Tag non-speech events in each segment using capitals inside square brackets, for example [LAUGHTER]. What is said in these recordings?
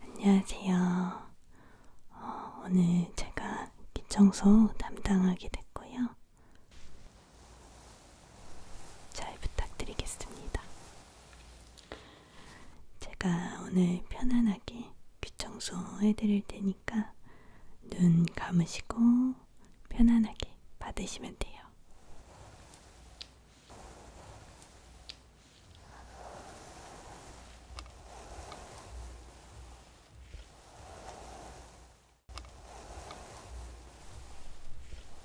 안녕하세요. 어, 오늘 제가 기청소 담당하게 됐고요. 잘 부탁드리겠습니다. 제가 오늘 편안하게 귀청소 해드릴 테니까 눈 감으시고 편안하게 받으시면 돼요.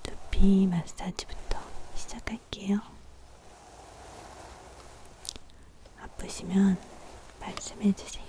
두피 마사지부터 시작할게요. 아프시면 말씀해 주세요.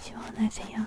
시원하세요.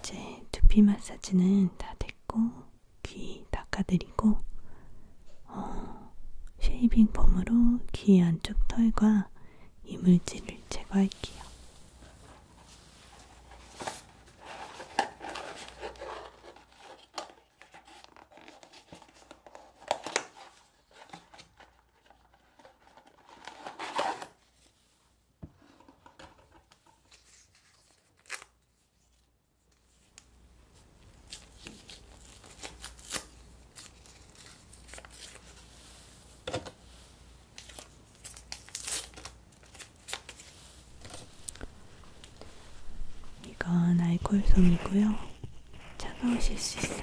이제 두피 마사지는 다 됐고 귀 닦아드리고 어, 쉐이빙 폼으로 귀 안쪽 털과 이물질을 제거할게요. 이건 알콜솜이고요. 차가우실 수 있어요.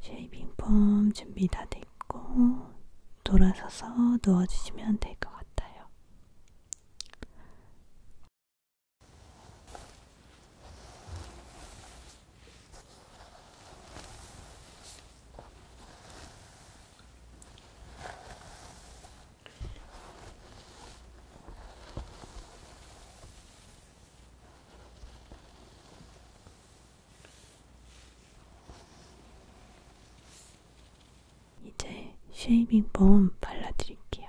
쉐이빙 폼 준비 다 됐고 돌아서서 넣어주시면 될 것 같아요. 이제 쉐이빙 폼 발라드릴게요.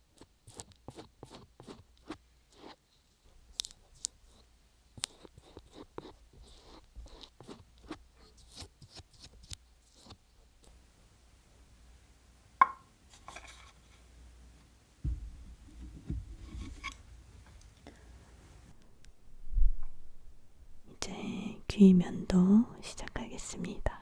이제 귀면도 시작하겠습니다.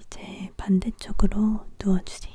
이제 반대쪽으로 누워주세요.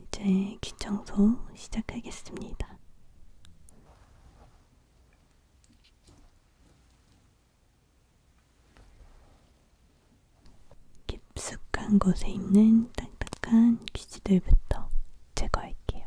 이제 귀청소 시작하겠습니다. 깊숙한 곳에 있는 딱딱한 귀지들부터 제거할게요.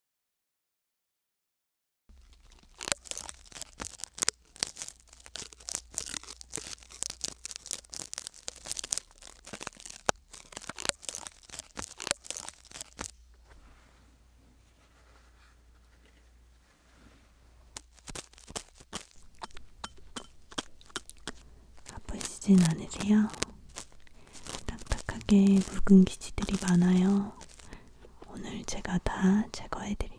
아프시진 않으세요? 딱딱하게 묵은 기지들이 많아요. 오늘 제가 다 제거해 드릴게요.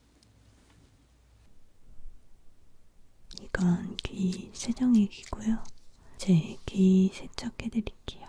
이건 귀 세정액이고요. 제귀 세척해드릴게요.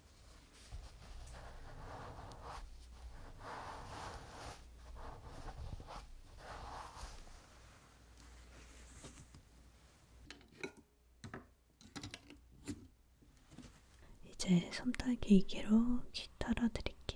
이제 솜털기기로 귀 털어드릴게요.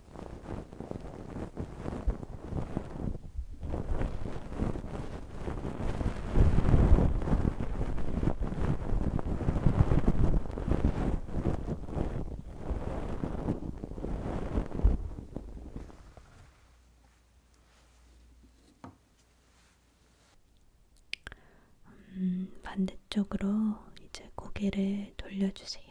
음, 반대 쪽으로 이제 고개를 돌려주세요.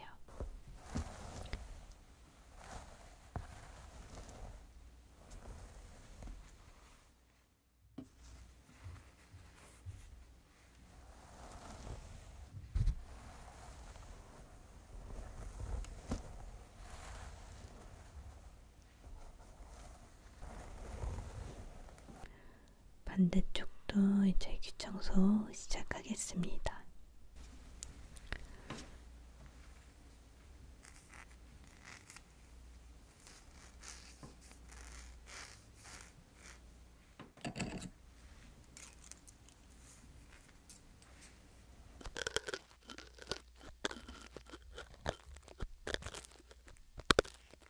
반대쪽도 이제 귀청소 시작하겠습니다.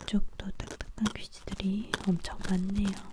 이쪽도 딱딱한 퀴즈들이 엄청 많네요.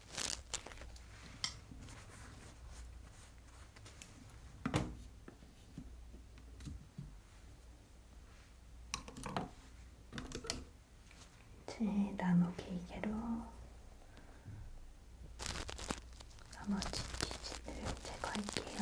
제 나무 길게로 나머지 귀신을 제거할게요.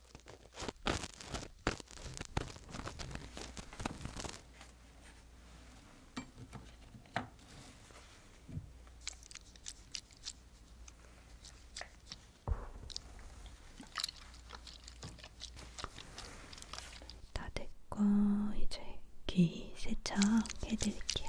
다 됐고 이제 귀 세척 해드릴게요.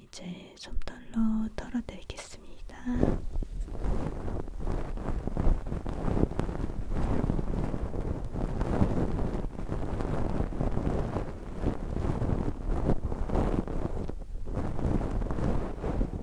이제 솜털로 털어드리겠습니다.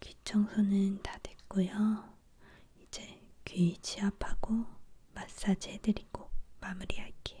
귀청소는 다 됐고요. 이제 귀 지압하고 마사지 해드리고 마무리할게요.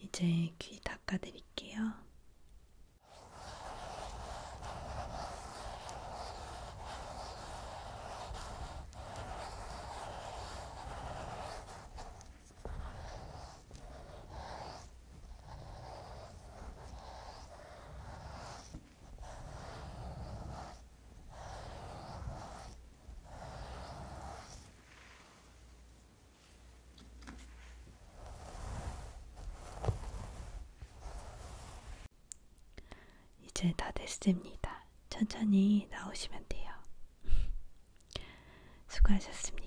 이제 귀 닦아드릴게요. 이제 다 됐습니다. 천천히 나오시면 돼요. [LAUGHS] 수고하셨습니다.